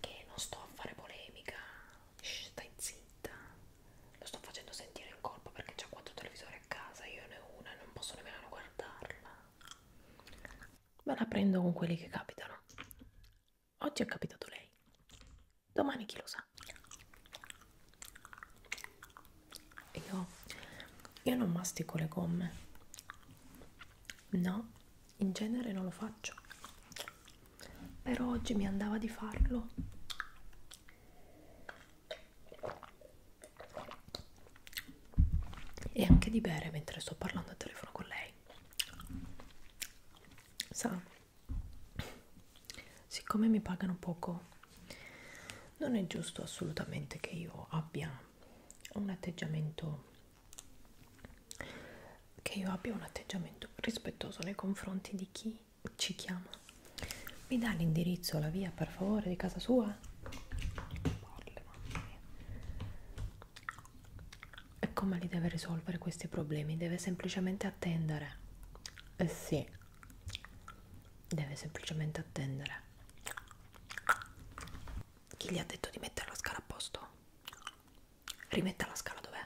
che non sto a fare polemica, Shh, stai zitta, lo sto facendo sentire in colpa perché c'ha quattro televisori a casa, io ne ho una e non posso nemmeno guardarla. Me la prendo con quelli che capitano. Oggi è capitato lei, domani chi lo sa. Io, io non mastico le gomme, no in genere non lo faccio però oggi mi andava di farlo e anche di bere mentre sto parlando al telefono con lei sa siccome mi pagano poco non è giusto assolutamente che io abbia un atteggiamento che io abbia un atteggiamento rispettoso nei confronti di chi ci chiama. Mi dà l'indirizzo, la via per favore di casa sua? Parle, mamma mia. E come li deve risolvere questi problemi? Deve semplicemente attendere. Eh sì, deve semplicemente attendere. Chi gli ha detto di mettere la scala a posto? rimetta la scala dov'è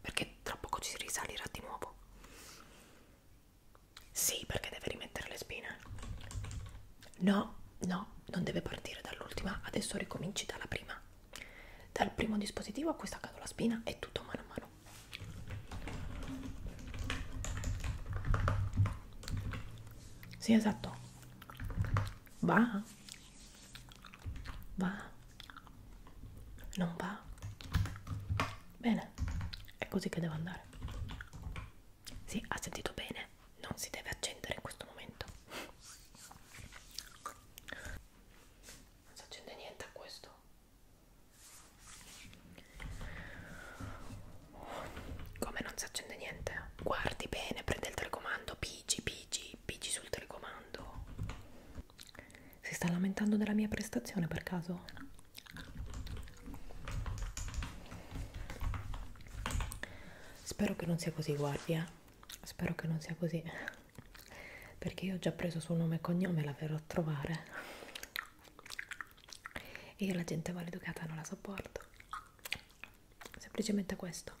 perché tra poco ci risalirà di nuovo sì perché deve rimettere le spine no no non deve partire dall'ultima adesso ricominci dalla prima dal primo dispositivo a cui sta la spina e tutto mano a mano sì esatto va Va? Non va? Bene, è così che devo andare. Sì, ha sentito bene, non si deve accendere in questo momento. Non si accende niente a questo. Come non si accende niente? Guardi bene, prende il telecomando, pigi, pigi Pigi, Pigi sul telecomando. Si sta lamentando della mia prestazione per caso? Spero che non sia così, guardi, eh. Spero che non sia così. Perché io ho già preso suo nome e cognome, la verrò a trovare. E io la gente maleducata non la sopporto. Semplicemente questo.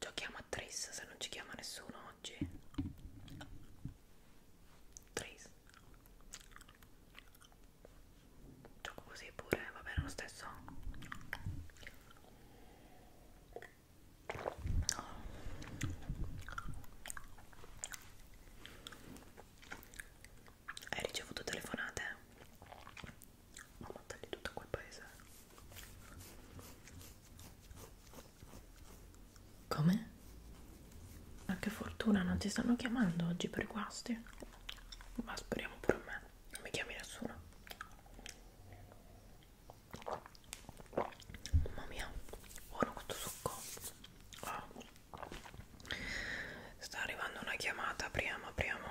Giochiamo a Tris se non ci chiama nessuno oggi. Tris. Gioco così pure, va bene lo stesso. Hai ricevuto telefonate? Ma tagli tutto quel paese. Come? Ma ah, che fortuna, non ti stanno chiamando oggi per guasti? Ma speriamo pure a me, non mi chiami nessuno. Mamma mia, buono questo succo. Oh. Sta arrivando una chiamata, apriamo, apriamo.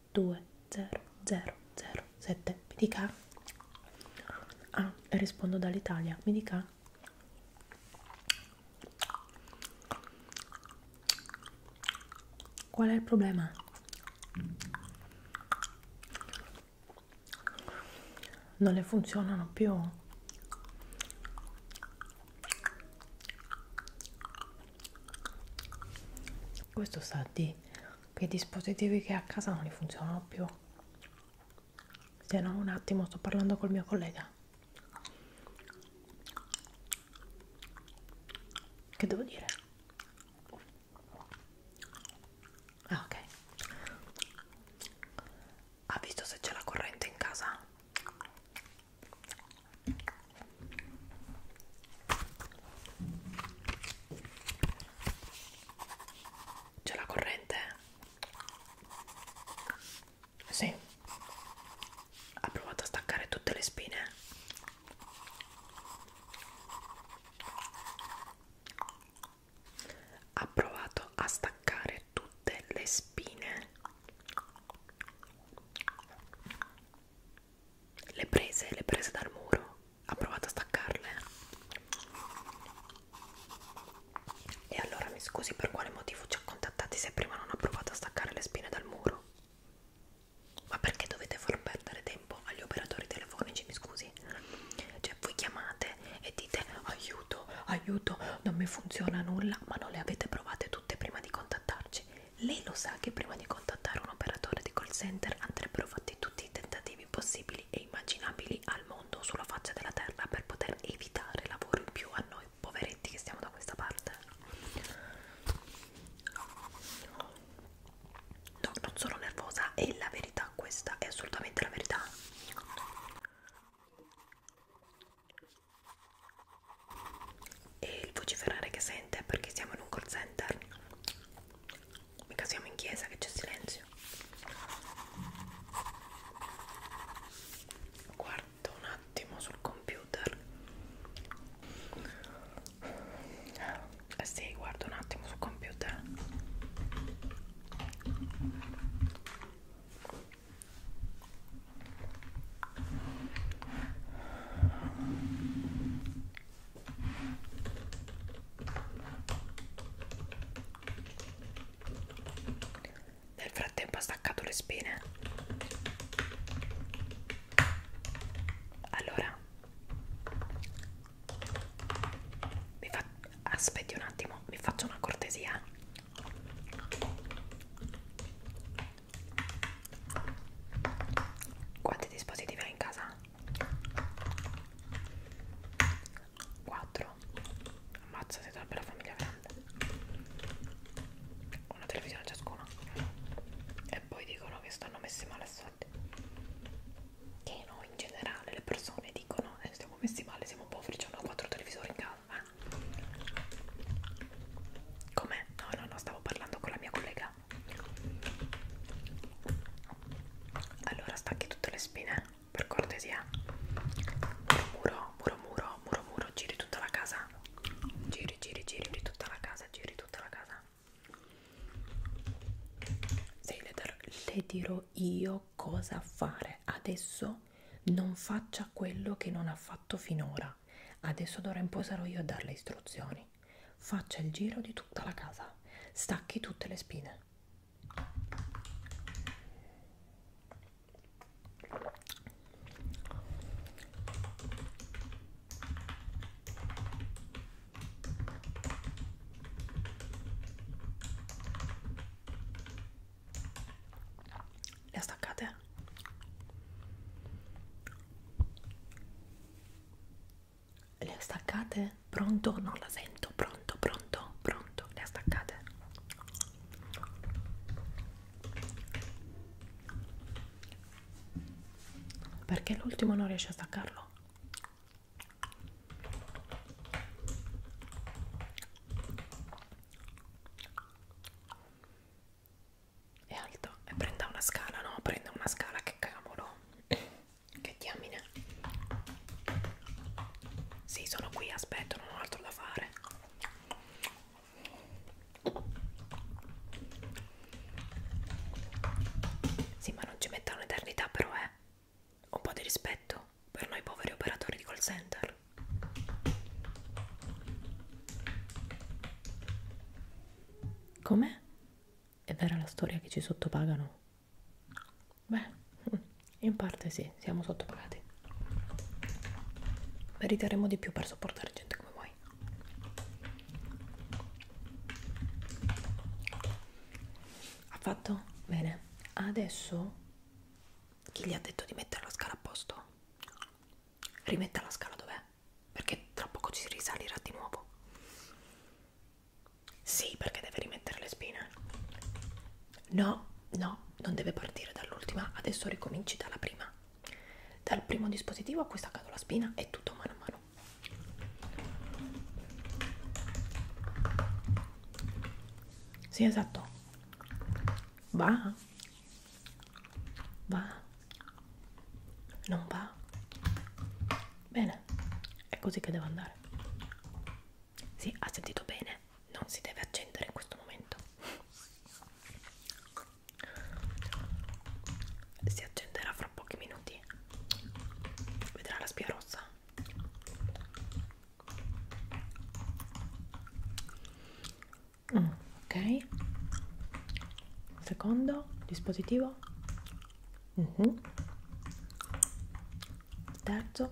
2 0 0 0 7 mi dica ah rispondo dall'italia mi dica qual è il problema non le funzionano più questo sa di quei dispositivi che a casa non li funzionano più se no un attimo sto parlando col mio collega che devo dire ah ok ha visto se c'è la corrente in casa c'è la corrente? Sì. Ha provato a staccare tutte le spine. Ha provato a staccare tutte le spine le prese, le prese dal muro, ha provato a staccarle. E allora mi scusi per quale motivo ci ha contattati se prima non ha provato a staccare le spine dal muro? Ma perché dovete far perdere tempo agli operatori telefonici, mi scusi? Cioè voi chiamate e dite aiuto, aiuto, non mi funziona nulla, ma non le avete provate tutte prima di contattarci. Lei lo sa che prima di contattare un operatore di call center andrebbero fatti tutti i tentativi possibili e immaginabili al mondo sulla faccia della terra per poter evitare lavoro in più a noi poveretti che stiamo da questa parte no, non sono nervosa è la verità questa è assolutamente la verità e il vociferare che sente perché siamo in un call center Mica siamo in chiesa che c'è silenzio. Guardo un attimo sul computer. Eh sì, guardo un attimo sul computer. Nel frattempo ha staccato le spine. Allora, mi fa... aspetti un attimo, vi faccio una cortesia. Quanti dispositivi hai in casa? 4 ammazza siete una bella famiglia grande una televisione ciascuna e poi dicono che stanno messi male a soldi che no in generale le persone dicono eh, stiamo messi male siamo poveri c'hanno 4 televisori in casa eh? com'è? no no no stavo parlando con la mia collega allora stacchi tutte le spine, per cortesia. Muro, muro, muro, muro, muro, giri tutta la casa. Giri, giri, giri tutta la casa, giri tutta la casa. Sì, le, le dirò io cosa fare. Adesso non faccia quello che non ha fatto finora. Adesso d'ora in poi sarò io a dare le istruzioni. Faccia il giro di tutta la casa, stacchi tutte le spine. Le staccate? le ha staccate? Pronto? Non la sento. Pronto, pronto, pronto. Le ha staccate? Perché l'ultimo non riesce a staccarlo? È alto e prenda una scala, no? Prenda una scala, che cavolo. Che diamine. Sì, sono qui, aspetto, non ho altro da fare. Sì, ma non ci metta un'eternità però, eh. Un po' di rispetto per noi poveri operatori di call center. Come? È vera la storia che ci sottopagano? Beh, in parte sì, siamo sottopagati. Meriteremo di più per sopportare gente come voi. Ha fatto? Bene. Adesso chi gli ha detto di mettere la scala a posto? Rimetta la scala dov'è? perché tra poco ci risalirà di nuovo sì perché deve rimettere le spine no no non deve partire dall'ultima adesso ricominci dalla prima dal primo dispositivo a cui sta la spina e tutto mano a mano sì esatto va va non va bene è così che devo andare sì ha sentito bene non si deve accendere in questo momento si accenderà fra pochi minuti vedrà la spia rossa mm, ok secondo dispositivo uh mhm. -huh. terzo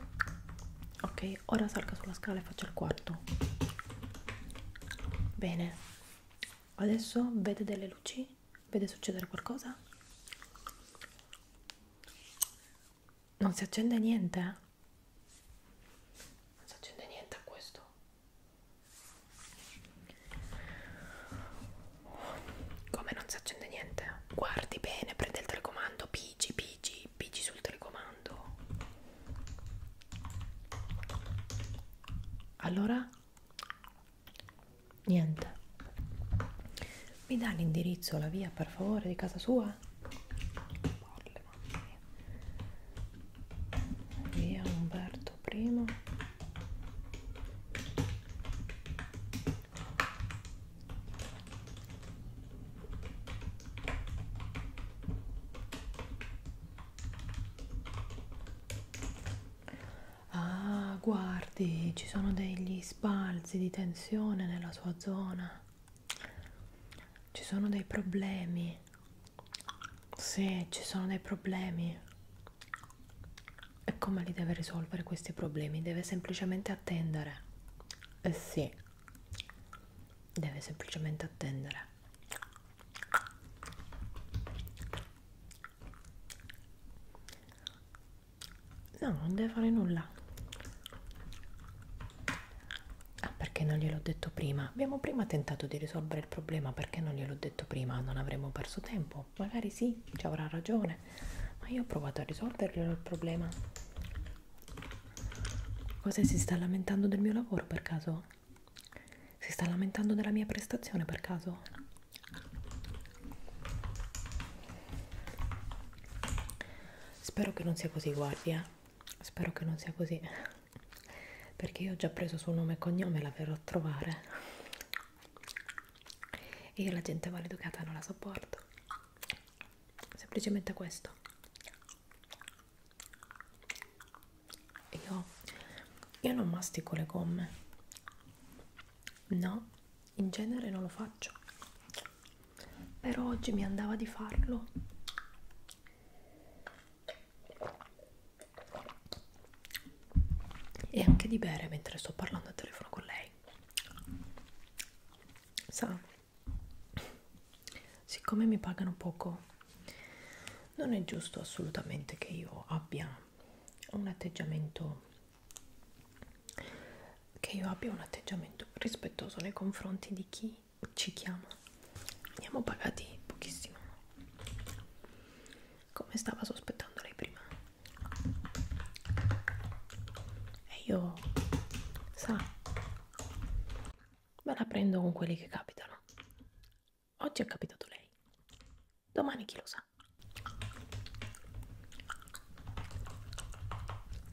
ok ora salga sulla scala e faccia il quarto bene adesso vede delle luci vede succedere qualcosa non si accende niente eh? non si accende niente a questo come non si accende niente? Guardi bene, prende il telecomando, pigi, pigi, pigi sul telecomando. Allora? Niente. Mi dà l'indirizzo, la via, per favore, di casa sua? Porle, mamma mia. Via Umberto fatto prima ah guardi ci sono degli sbalzi di tensione nella sua zona ci sono dei problemi se ci sono dei problemi e come li deve risolvere questi problemi? Deve semplicemente attendere. Eh sì, deve semplicemente attendere. No, non deve fare nulla. Ah, perché non gliel'ho detto prima? Abbiamo prima tentato di risolvere il problema, perché non gliel'ho detto prima? Non avremmo perso tempo dico magari sì ci avrà ragione ma io ho provato a risolverlo il problema cosa si sta lamentando del mio lavoro per caso si sta lamentando della mia prestazione per caso spero che non sia così guardia spero che non sia così perché io ho già preso suo nome e cognome la verrò a trovare e io la gente maleducata non la sopporto. Semplicemente questo. Io, io non mastico le gomme. No, in genere non lo faccio. Però oggi mi andava di farlo e anche di bere mentre sto parlando al telefono con lei sa siccome mi pagano poco non è giusto assolutamente che io abbia un atteggiamento che io abbia un atteggiamento rispettoso nei confronti di chi ci chiama andiamo pagati pochissimo come stava sospettando lei prima e io sa me la prendo con quelli che capitano oggi è capitato lei domani chi lo sa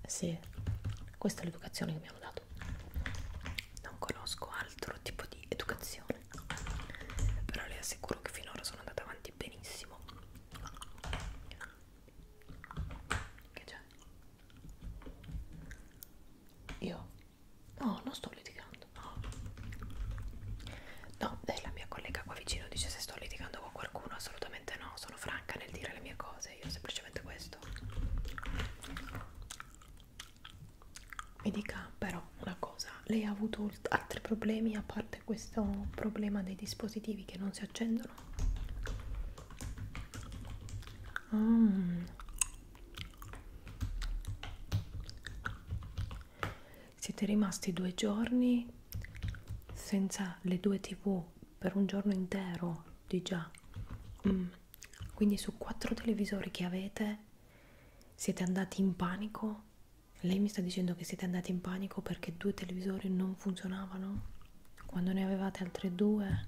sì questa è l'educazione che mi hanno dato non conosco altro tipo di educazione però le assicuro che finora sono andata avanti benissimo che c'è? io? no, non sto litigando no. no, dai la mia collega qua vicino dice se sto litigando con qualcuno assolutamente no, sono franca nel dire le mie cose io semplicemente questo mi dica però una cosa, lei ha avuto altri problemi a parte questo problema dei dispositivi che non si accendono? Mm. Siete rimasti due giorni senza le due tv per un giorno intero di già mm. quindi su quattro televisori che avete siete andati in panico lei mi sta dicendo che siete andati in panico perché due televisori non funzionavano? Quando ne avevate altre due?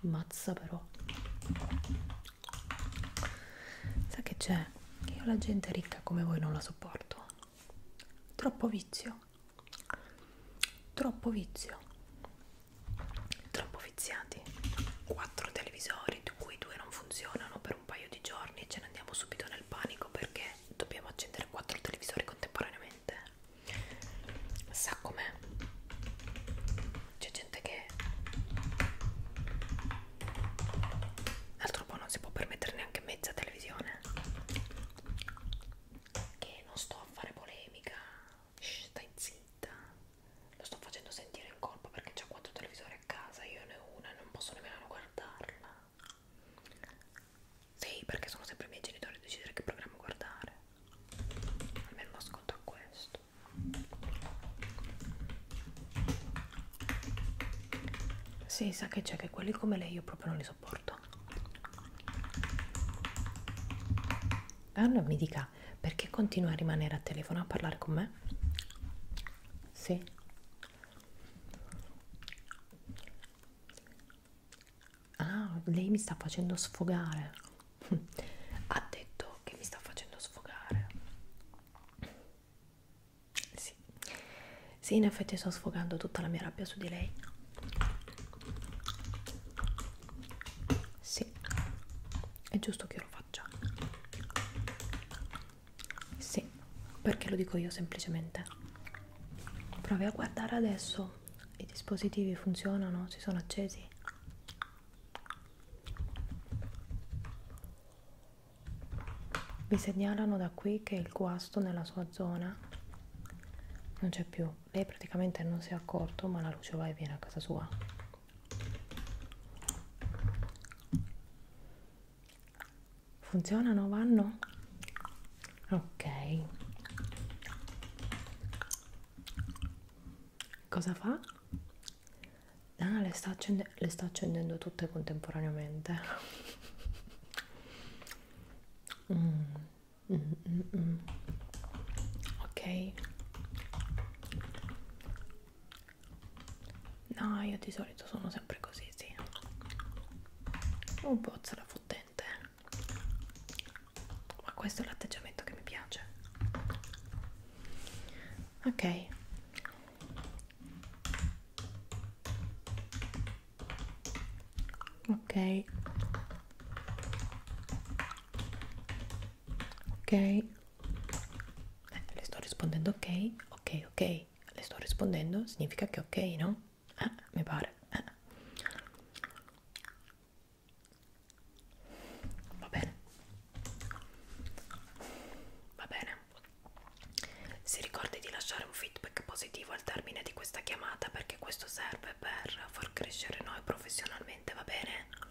Mazza però. Sa che c'è? Che io la gente ricca come voi non la sopporto. Troppo vizio. Troppo vizio. Troppo viziati. Quattro televisori, di cui due non funzionano per un paio di giorni ce ne andiamo subito nel panico perché dobbiamo accendere quattro televisori contemporaneamente sa com'è c'è gente che altro po' non si può permettere neanche mezza televisione che non sto a fare polemica Shh, stai zitta lo sto facendo sentire in colpa perché c'è quattro televisori a casa, io ne ho una e non posso nemmeno guardarla. Sì, perché sono sempre i miei genitori a decidere che programma guardare. Almeno lo ascolto a questo. Sì, sa che c'è che quelli come lei io proprio non li sopporto. Anna mi dica perché continua a rimanere a telefono a parlare con me? Sì. Ah, lei mi sta facendo sfogare. ha detto che mi sta facendo sfogare. Sì. Sì, in effetti sto sfogando tutta la mia rabbia su di lei. Sì. È giusto che io lo faccia. Sì, perché lo dico io semplicemente. Provi a guardare adesso. I dispositivi funzionano? Si sono accesi? Vi segnalano da qui che il guasto nella sua zona non c'è più. Lei praticamente non si è accorto, ma la luce va e viene a casa sua funzionano vanno ok cosa fa ah, le, sta le sta accendendo tutte contemporaneamente mm, mm, mm, mm. ok No, io di solito sono sempre così, sì. Un pozzo la fottente. Eh. Ma questo è l'atteggiamento che mi piace. Ok. Ok. Ok eh, le sto rispondendo ok, ok, ok, le sto rispondendo, significa che ok, no? Eh, mi pare. Eh. Va bene. Va bene. Si ricordi di lasciare un feedback positivo al termine di questa chiamata perché questo serve per far crescere noi professionalmente, va bene?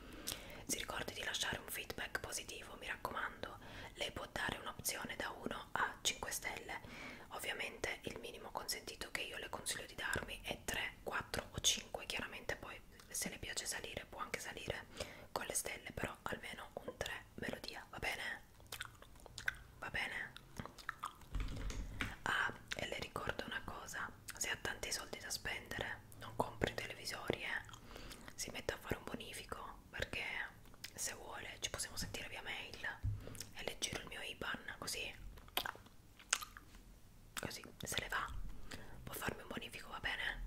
Si ricordi di lasciare un feedback positivo, mi raccomando. Lei può dare un'opzione da 1 a 5 stelle. Ovviamente il minimo consentito che io le consiglio di darmi è 3, 4 o 5. Chiaramente poi se le piace salire può anche salire con le stelle, però almeno un 3 me lo dia, va bene? Va bene? Ah, e le ricordo una cosa, se ha tanti soldi da spendere non compri televisori, eh? si metta a fare un bonifico perché se vuole ci possiamo sentire via mail e le giro il mio IBAN così così se le va può farmi un bonifico va bene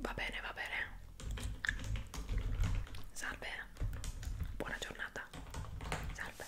va bene va bene salve buona giornata salve